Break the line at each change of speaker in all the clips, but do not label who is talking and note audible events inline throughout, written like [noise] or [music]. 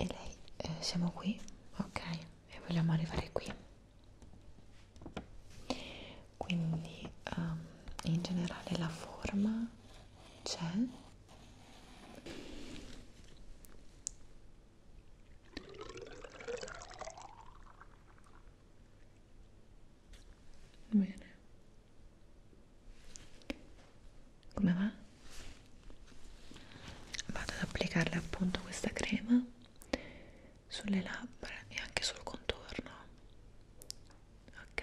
e lei eh, siamo qui ok e vogliamo arrivare qui quindi um, in generale la forma c'è bene come va? vado ad applicarle appunto questa crema sulle labbra e anche sul contorno ok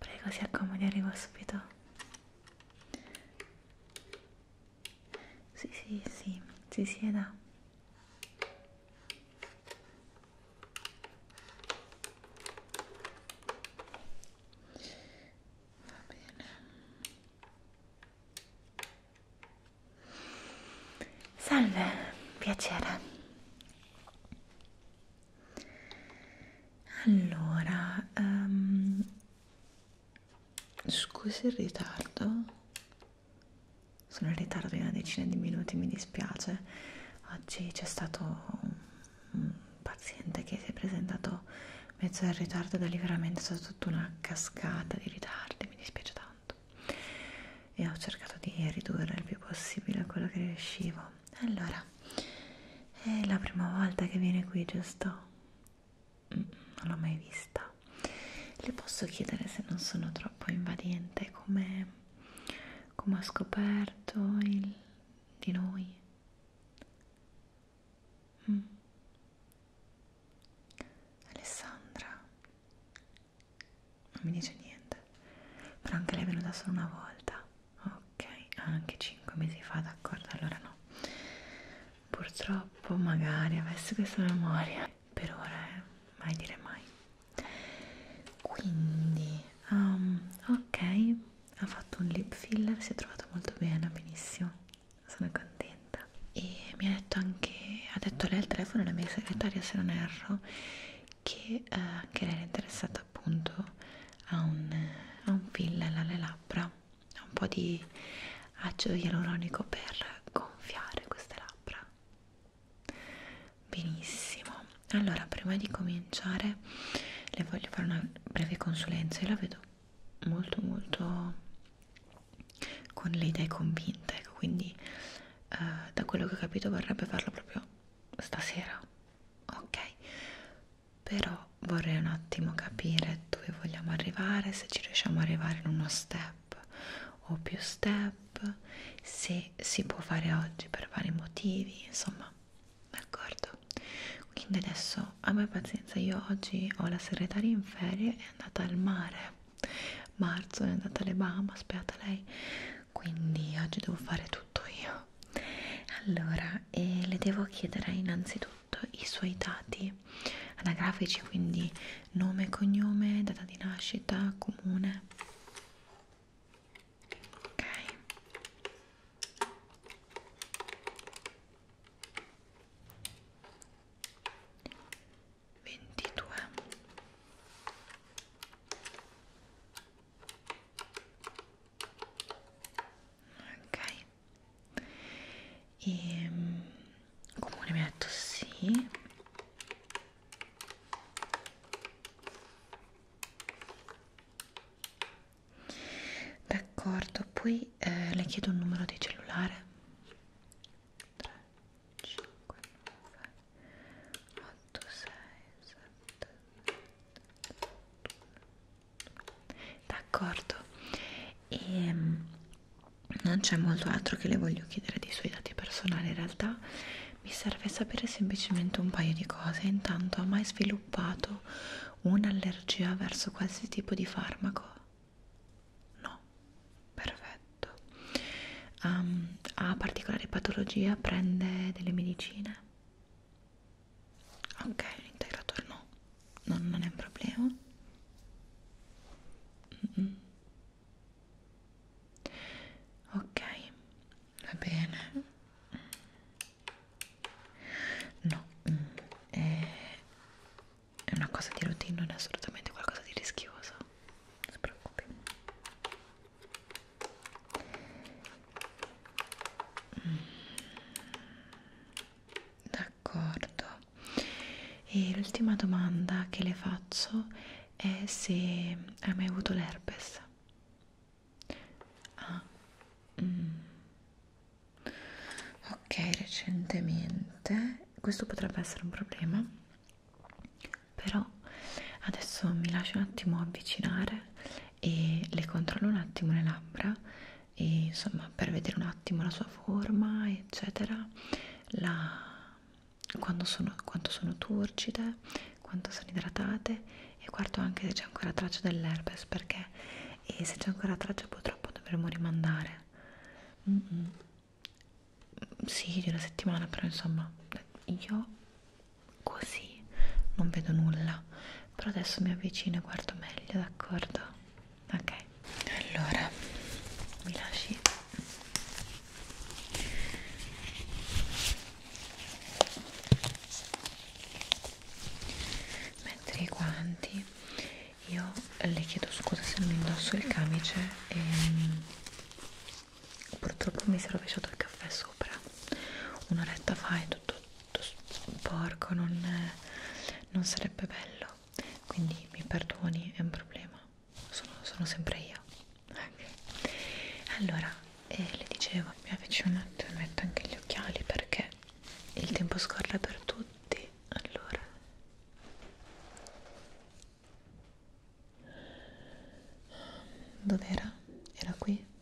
Prego, si accomodi, arrivo subito. Sì, sì, sì, si sieda. Va bene. Salve, piacere allora um, ehm, scusi il ritardo sono in ritardo di una decina di minuti mi dispiace oggi c'è stato un paziente che si è presentato mezzo in ritardo da liberamente è stata tutta una cascata di ritardi mi dispiace tanto e ho cercato di ridurre il più possibile quello che riuscivo allora è la prima volta che viene qui giusto mm, non l'ho mai vista le posso chiedere se non sono troppo invadente come, come ha scoperto il, di noi mm. Alessandra non mi dice niente però anche lei è venuta solo una volta ok anche 5 mesi fa d'accordo allora no purtroppo magari avessi questa memoria per ora eh? mai dire mai quindi um, ok ha fatto un lip filler si è trovato molto bene benissimo sono contenta e mi ha detto anche ha detto lei al telefono la mia segretaria se non erro che eh, anche lei era interessata appunto a un, a un fill alle labbra, a un po' di acido ialuronico per gonfiare queste labbra. Benissimo, allora prima di cominciare le voglio fare una breve consulenza, io la vedo molto molto con le idee convinte, ecco, quindi eh, da quello che ho capito vorrebbe farlo proprio stasera, ok? Però vorrei un attimo capire dove vogliamo arrivare, se ci riusciamo ad arrivare in uno step o più step, se si può fare oggi per vari motivi, insomma, d'accordo? Quindi adesso abbia pazienza, io oggi ho la segretaria in ferie, è andata al mare, marzo è andata alle Bahamas, beata lei quindi oggi devo fare tutto io allora eh, le devo chiedere innanzitutto i suoi dati anagrafici quindi nome cognome data di nascita comune ok Ventidue ok e ehm, comune metto sì d'accordo poi eh, le chiedo un numero di cellulare 3 5 9 8 6 7 9 d'accordo e ehm, non c'è molto altro che le voglio chiedere dei suoi dati personali in realtà mi serve sapere semplicemente un paio di cose intanto ha mai sviluppato un'allergia verso qualsiasi tipo di farmaco? no perfetto um, ha particolari patologie? prende delle medicine? ok l'integratore no. no non è un problema mm -mm. ok va bene no mm. è una cosa di routine non è assolutamente qualcosa di rischioso non si preoccupi d'accordo e l'ultima domanda che le faccio è se hai mai avuto l'herpes ah. mm. ok recentemente questo potrebbe essere un problema però adesso mi lascio un attimo avvicinare e le controllo un attimo le labbra e insomma per vedere un attimo la sua forma eccetera la quando sono, quanto sono turgide, quanto sono idratate e guardo anche se c'è ancora traccia dell'herpes perché e se c'è ancora traccia purtroppo dovremmo rimandare mm -mm. sì di una settimana però insomma io così non vedo nulla però adesso mi avvicino e guardo meglio d'accordo ok allora mi lasci mettere i guanti io le chiedo scusa se non indosso il camice e mm, purtroppo mi si è rovesciato il caffè sopra un'oretta fa e tutto tutto sporco, non, non sarebbe bello. Quindi mi perdoni, è un problema. Sono, sono sempre io. Okay. Allora, eh, le dicevo, mi avvicino un attimo e metto anche gli occhiali perché il tempo scorre per tutti. Allora. Dov'era? Era qui?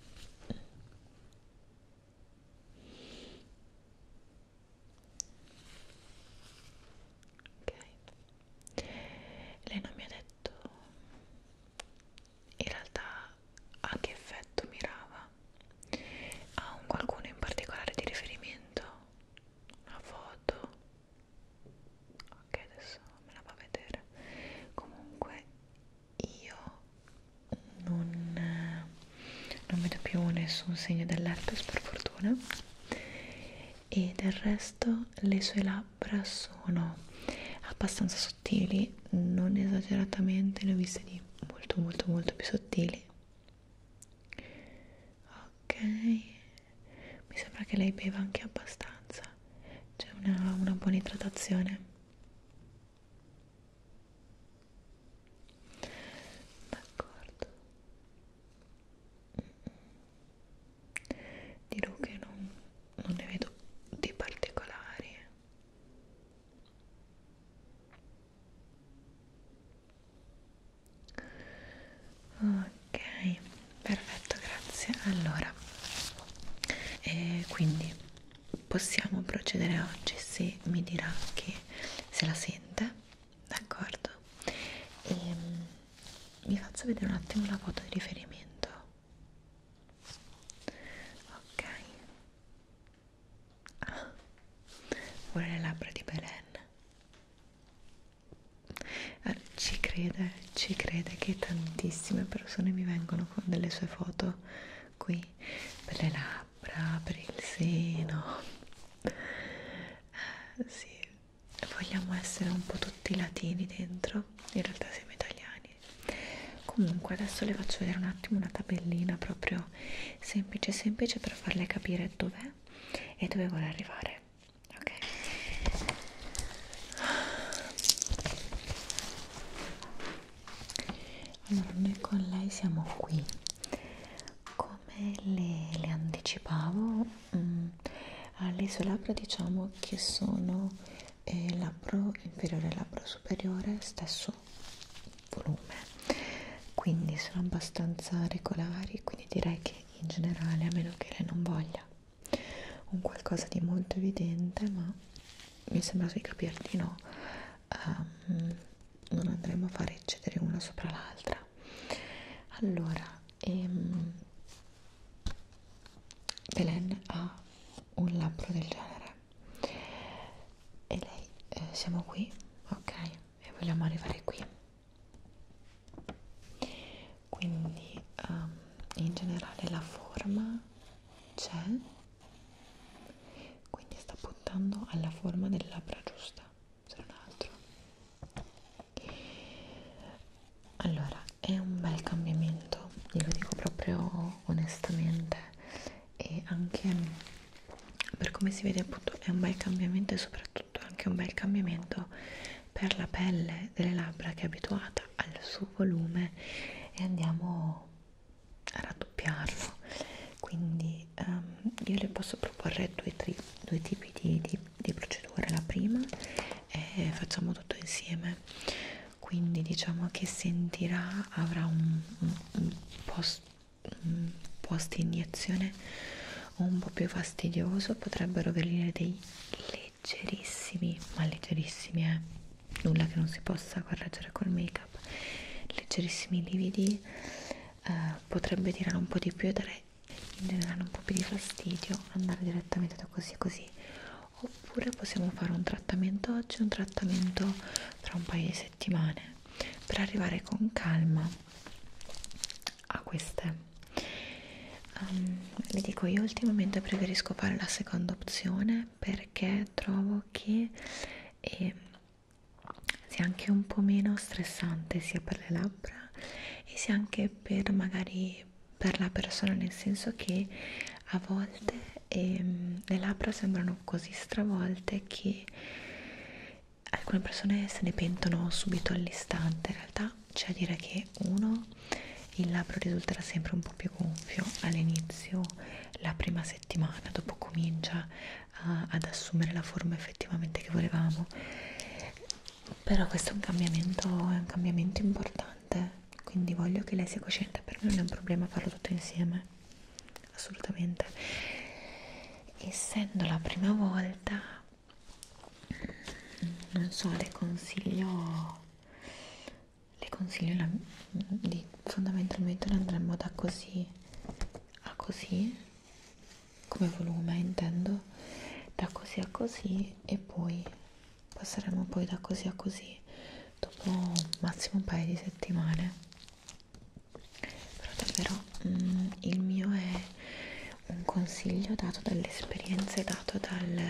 ok lei non mi ha detto in realtà a che effetto mirava a un qualcuno in particolare di riferimento una foto ok adesso me la va a vedere comunque io non, non vedo più nessun segno dell'herpes per fortuna e del resto le sue labbra sono abbastanza sottili non esageratamente le ho viste di molto molto molto più sottili ok mi sembra che lei beva anche abbastanza c'è una, una buona idratazione d'accordo dirò che non, non ne vedo di particolari ok perfetto grazie allora e eh, quindi possiamo procedere oggi se mi dirà che se la sente, d'accordo? E ehm, vi faccio vedere un attimo la foto di riferimento. Ok. Ah, vuole le labbra di Belen. Ah, ci crede, ci crede che tantissime persone mi vengono con delle sue foto qui per le labbra, per il seno eh, sì, vogliamo essere un po' tutti latini dentro in realtà siamo italiani comunque adesso le faccio vedere un attimo una tabellina proprio semplice semplice per farle capire dov'è e dove vuole arrivare ok allora noi con lei siamo qui come le, le anticipavo mh, mm, alle sue labbra diciamo che sono eh, labbro inferiore e labbro superiore stesso volume quindi sono abbastanza regolari quindi direi che in generale a meno che lei non voglia un qualcosa di molto evidente ma mi sembra sui capelli no um, non andremo a fare eccedere una sopra l'altra allora ehm, Belen ha un labbro del genere e lei eh, siamo qui ok e vogliamo arrivare qui quindi um, in generale la forma c'è quindi sta puntando alla forma del labbra giusta se non altro allora è un bel cambiamento glielo dico proprio onestamente e anche per come si vede appunto è un bel cambiamento e soprattutto anche un bel cambiamento per la pelle delle labbra che è abituata al suo volume e andiamo raddoppiarlo quindi um, io le posso proporre due, tri, due tipi di, di, di procedure la prima è facciamo tutto insieme quindi diciamo che sentirà avrà un, un, un, post, un post iniezione un po' più fastidioso potrebbero venire dei leggerissimi ma leggerissimi eh nulla che non si possa correggere col make up leggerissimi lividi eh, potrebbe tirare un po' di più e dare in generale un po' più di fastidio andare direttamente da così così oppure possiamo fare un trattamento oggi un trattamento tra un paio di settimane per arrivare con calma a queste um, vi dico io ultimamente preferisco fare la seconda opzione perché trovo occhi e ehm, sia anche un po' meno stressante sia per le labbra e sia anche per magari per la persona nel senso che a volte ehm, le labbra sembrano così stravolte che alcune persone se ne pentono subito all'istante in realtà c'è a dire che uno il labbro risulterà sempre un po' più gonfio all'inizio la prima settimana dopo comincia a, ad assumere la forma effettivamente che volevamo però questo è un cambiamento è un cambiamento importante quindi voglio che lei sia cosciente per me non è un problema farlo tutto insieme assolutamente essendo la prima volta non so le consiglio le consiglio la, di fondamentalmente la andremo da così a così come volume intendo da così a così e poi passeremo poi da così a così dopo massimo un paio di settimane però davvero mh, mm, il mio è un consiglio dato dall'esperienza e dato dal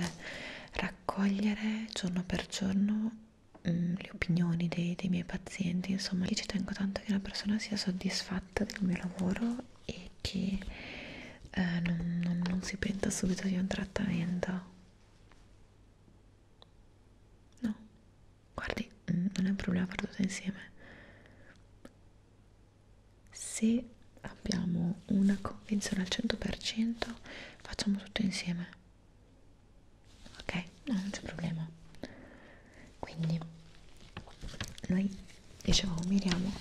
raccogliere giorno per giorno mh, mm, le opinioni dei, dei miei pazienti, insomma lì ci tengo tanto che la persona sia soddisfatta del mio lavoro e che eh, non, non, non si penta subito di un trattamento. No, guardi, mm, non è un problema far tutto insieme. Se abbiamo una convinzione al 100%, facciamo tutto insieme ok? No, non c'è problema. Quindi noi dicevamo miriamo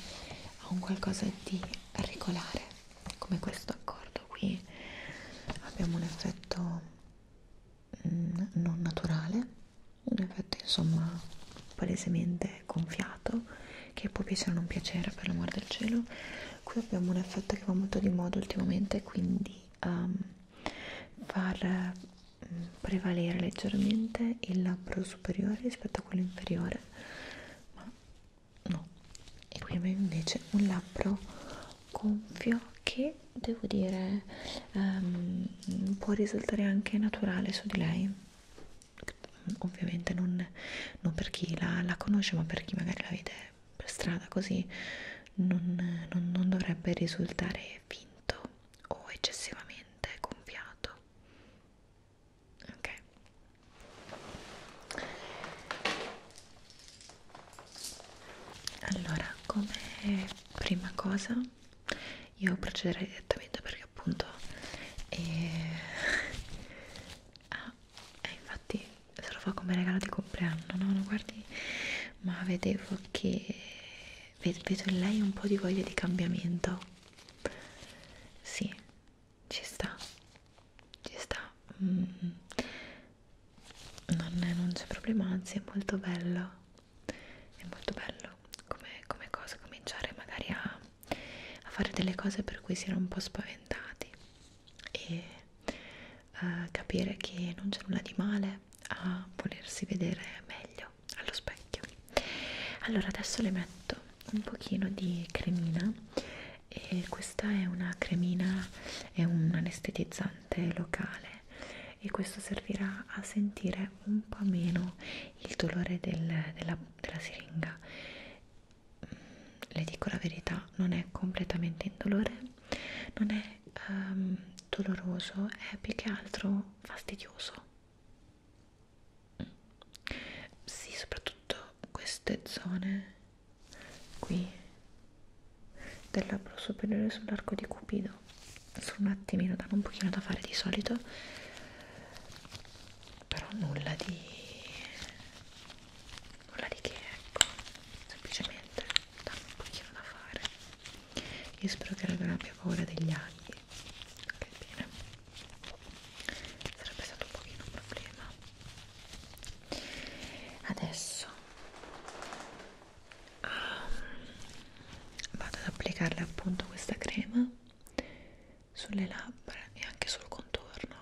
a un qualcosa di regolare, come questo accordo qui abbiamo un effetto mh, mm, non naturale, un effetto insomma palesemente gonfiato che può piacere o non piacere per l'amor del cielo qui abbiamo un effetto che va molto di moda ultimamente quindi um, far mm, prevalere leggermente il labbro superiore rispetto a quello inferiore ma no e qui abbiamo invece un labbro gonfio che devo dire um, può risultare anche naturale su di lei ovviamente non, non per chi la, la conosce ma per chi magari la vede per strada così non, non, non dovrebbe risultare finto o eccessivamente gonfiato ok allora come prima cosa io procederei direttamente perché appunto eh, [laughs] ah, e eh, infatti se lo fa come regalo di compleanno no lo guardi ma vedevo che vedo in lei un po' di voglia di cambiamento sì ci sta ci sta mm. non c'è problema anzi è molto bello è molto bello come, come cosa cominciare magari a, a fare delle cose per cui si era un po' spaventati e eh, capire che non c'è nulla di male a volersi vedere meglio allo specchio allora adesso le metto un pochino di cremina e questa è una cremina è un anestetizzante locale e questo servirà a sentire un po' meno il dolore del, della, della siringa mm, le dico la verità non è completamente indolore non è um, doloroso, è più che altro fastidioso. Mm. Sì, soprattutto queste zone qui del labbro superiore sull'arco di Cupido solo un attimino, danno un pochino da fare di solito però nulla di nulla di che ecco semplicemente danno un pochino da fare io spero che non abbia paura degli aghi ok bene sarebbe stato un pochino un problema adesso um, vado ad applicarle appunto questa crema sulle labbra e anche sul contorno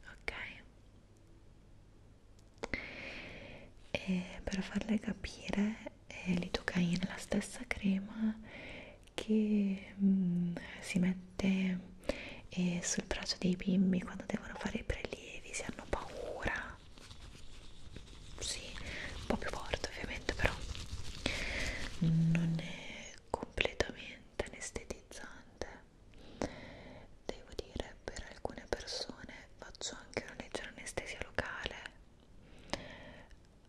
ok e per farle capire eh, l'idocaina è la stessa crema che mm, si mette eh, sul braccio dei bimbi quando devono fare i prelievi se hanno paura sì, un po' più forte ovviamente però non è completamente anestetizzante Devo dire, per alcune persone faccio anche una leggera anestesia locale,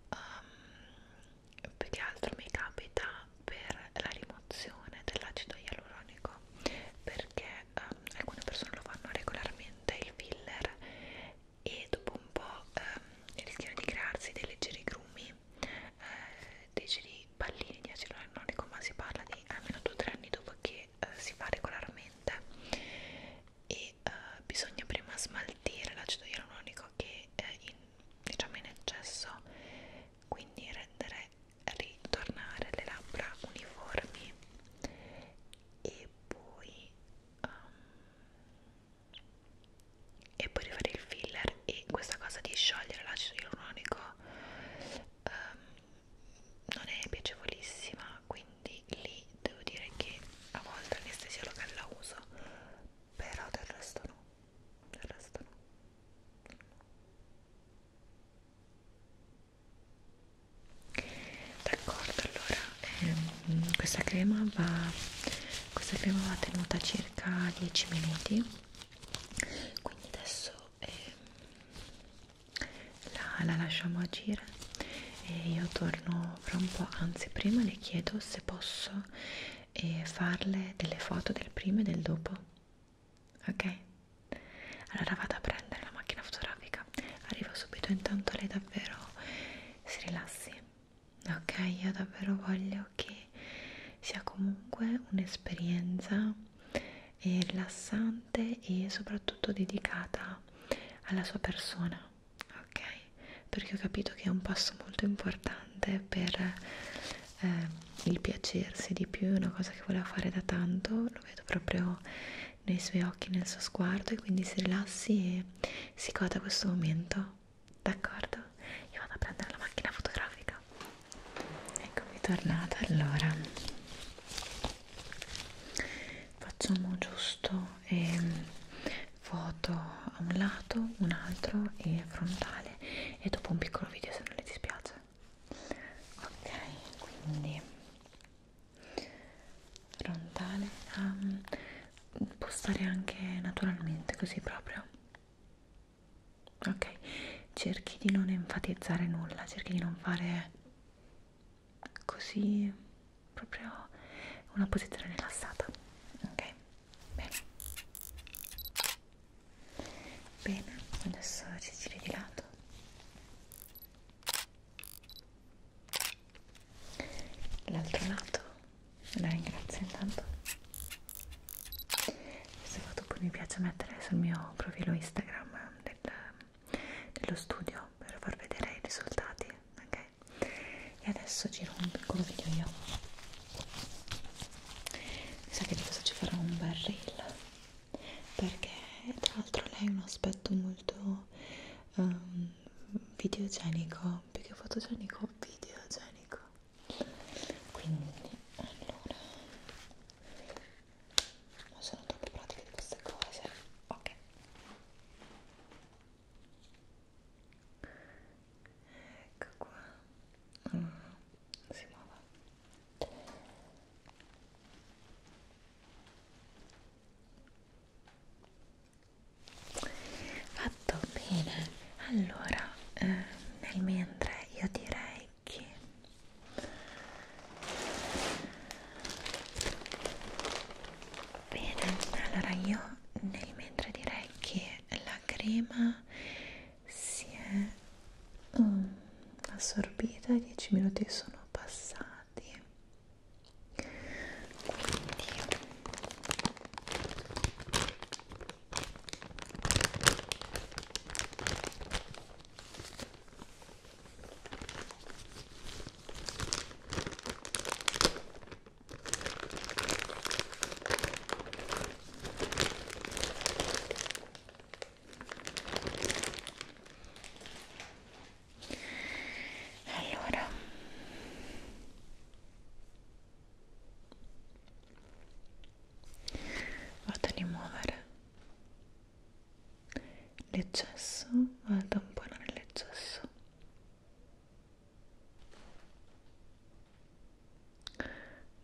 um, più che altro mi capita per la rimozione dell'acido ialuronico, perché um, alcune persone lo fanno regolarmente il filler e dopo un po' um, rischiano di crearsi dei leggeri grumi, eh, leggeri pallini di acido linoleico ma si parla di almeno 2-3 anni dopo che eh, si fa regolarmente e eh, bisogna prima smaltire l'acido ialuronico che è eh, in, diciamo in eccesso quindi rendere ritornare le labbra uniformi e poi um, e poi rifare il filler e questa cosa di sciogliere l'acido ialuronico um, non è piacevolissima quindi lì devo dire che a volte l'anestesia locale la uso però del resto no del resto no d'accordo allora ehm, questa crema va questa crema va tenuta circa 10 minuti quindi adesso e eh, la, la lasciamo agire e io torno fra un po', anzi prima le chiedo se posso eh, farle delle foto del prima e del dopo, ok? Allora vado a prendere la macchina fotografica, arrivo subito intanto lei davvero si rilassi, ok? Io davvero voglio che sia comunque un'esperienza e rilassante e soprattutto dedicata alla sua persona, ok? Perché ho capito che è un passo molto importante per eh, il piacersi di più, è una cosa che voleva fare da tanto, lo vedo proprio nei suoi occhi, nel suo sguardo e quindi si rilassi e si goda questo momento, d'accordo? Io vado a prendere la macchina fotografica eccomi tornata allora facciamo giusto eh, foto a un lato un altro e frontale e dopo un piccolo video se non le dispiace ok quindi frontale um, può stare anche naturalmente così proprio ok cerchi di non enfatizzare nulla cerchi di non fare così proprio una posizione rilassata ok bene bene adesso ci giri di lato l'altro lato la ringrazio intanto questo foto poi mi piace mettere sul mio profilo instagram del, dello studio per far vedere i risultati ok e adesso giro un piccolo video io mi sa che di questo ci farò un bel reel perché tra l'altro lei ha un aspetto molto um, videogenico più che fotogenico videogenico quindi allora non sono troppo pratica di queste cose ok ecco qua mm, si muove fatto bene allora eh, nel mentre io direi orecchie bene allora io nel mentre direi che la crema si è um, assorbita 10 minuti sono passati quindi allora vado a rimuovere l'eccesso va a tamponare l'eccesso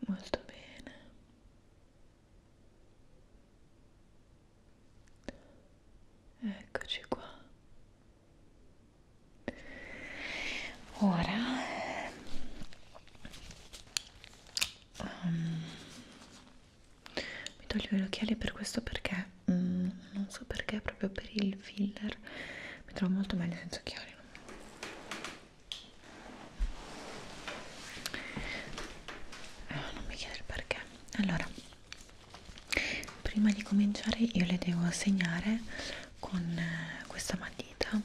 molto bene eccoci qua ora um, mi toglio gli occhiali per questo perché mm, non so perché proprio per il filler mi trovo molto meglio senza occhiali eh, non mi chiedere il perché allora prima di cominciare io le devo segnare con eh, questa matita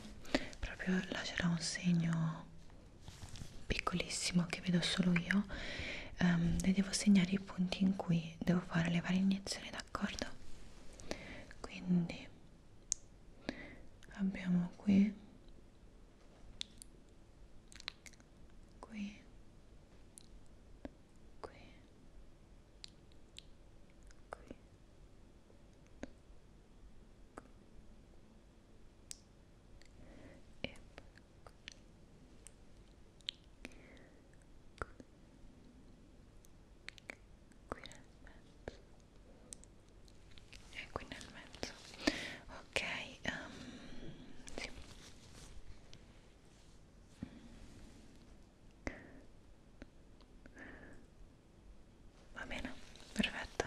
proprio lascerò un segno piccolissimo che vedo solo io um, ehm, e devo segnare i punti in cui devo fare le varie iniezioni d'accordo quindi abbiamo qui qui qui qui qui e poi qui qui nel mezzo e qui nel mezzo ok um, sì. Va bene, perfetto.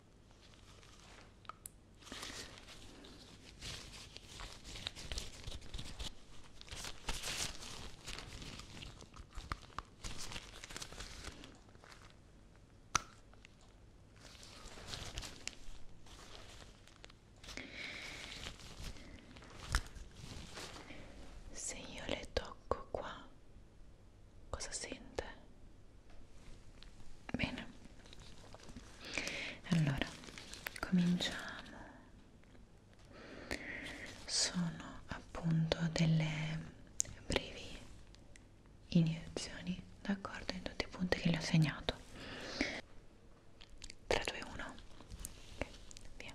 Se io le tocco qua cosa sente bene allora cominciamo sono appunto delle brevi iniezioni d'accordo in tutti i punti che le ho segnato 3 2 1 ok via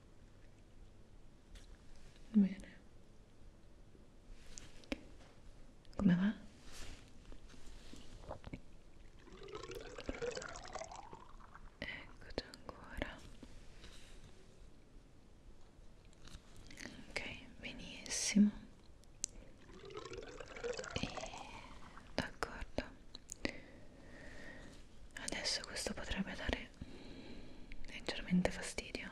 Bene. Come va? Eccoci ancora. Ok, benissimo. E d'accordo. Adesso questo potrebbe dare dare leggermente fastidio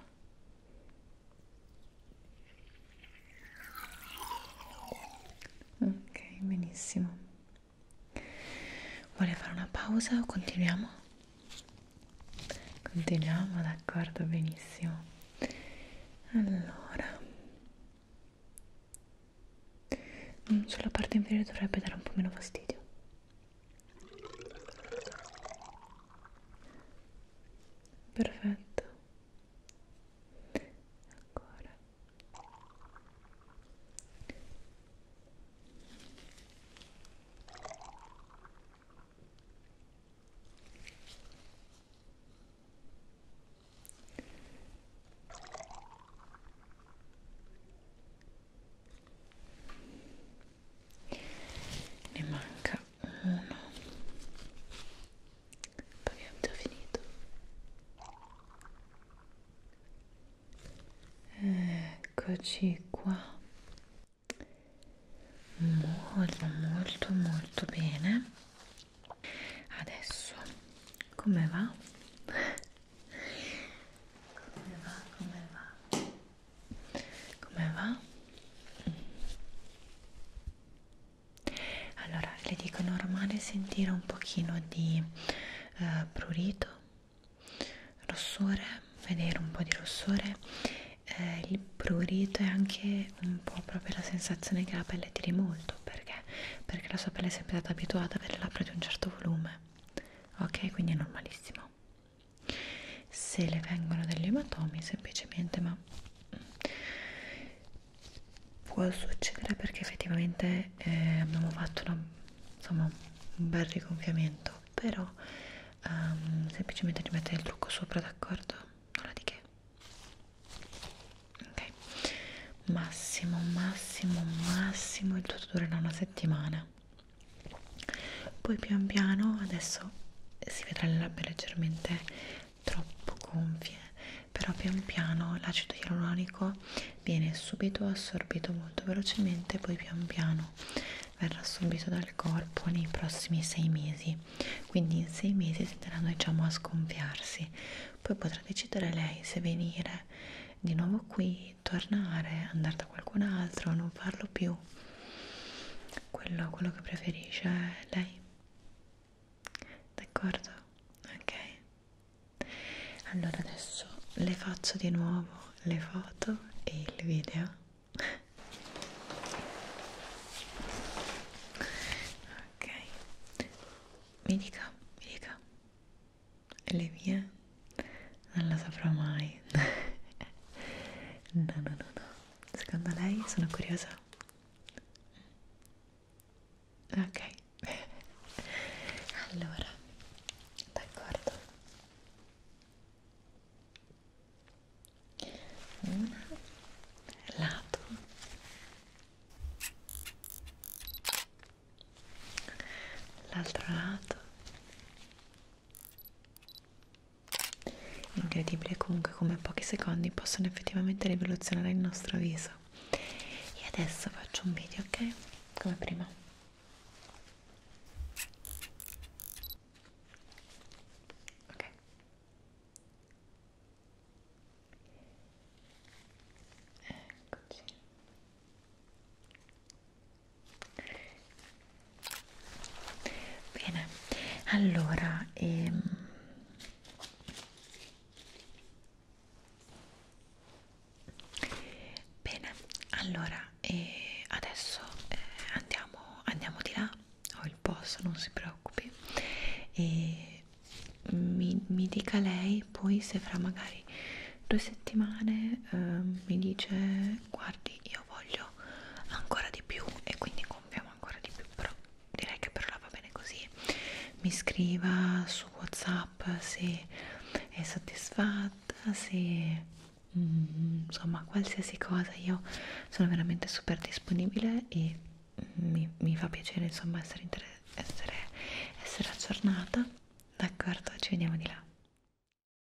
ok benissimo vuole fare una pausa o continuiamo? continuiamo d'accordo benissimo allora mm, sulla parte inferiore dovrebbe dare un po' meno fastidio perfetto ancora ne manca uno poi abbiamo già finito eccoci qua molto molto molto bene adesso come va? [laughs] come va? come va? come va? Allora, le dico normale sentire un pochino di eh, prurito, rossore, vedere un po' di rossore. Eh, il prurito è anche un po' proprio la sensazione che la pelle tiri molto, perché? Perché la sua pelle è sempre stata abituata a avere labbra di un certo volume. Ok, quindi è normalissimo se le vengono degli ematomi semplicemente ma può succedere perché effettivamente eh, abbiamo fatto una, insomma, un bel rigonfiamento però um, semplicemente rimettere il trucco sopra d'accordo nulla di che ok massimo massimo massimo il tutto durerà una settimana poi pian piano adesso si vedrà le labbra leggermente troppo gonfie però pian piano l'acido ialuronico viene subito assorbito molto velocemente poi pian piano verrà assorbito dal corpo nei prossimi sei mesi quindi in sei mesi tenderanno diciamo a sgonfiarsi poi potrà decidere lei se venire di nuovo qui di tornare, andare da qualcun altro, non farlo più. Quello, quello che preferisce è lei. D'accordo? Ok. Allora adesso le faccio di nuovo le foto e il video. ok. Mi dica, mi dica. Le mie non lo saprò mai [laughs] no no no no secondo lei sono curiosa ok [laughs] allora d'accordo una lato l'altro lato incredibile comunque come pochi secondi possono effettivamente rivoluzionare il nostro viso e adesso faccio un video ok come prima ok eccoci Bene, allora ehm... bene, allora eh, adesso eh, andiamo, andiamo di là. Ho il posto, non si preoccupi. E mi, mi dica lei poi se fra magari due settimane eh, mi dice guardi io voglio meglio ancora di più e quindi compiamo ancora di più però direi che per ora va bene così mi scriva su whatsapp se è soddisfatta se mm, insomma qualsiasi cosa io sono veramente super disponibile e mm, mi, mi fa piacere insomma essere, essere, essere aggiornata d'accordo ci vediamo di là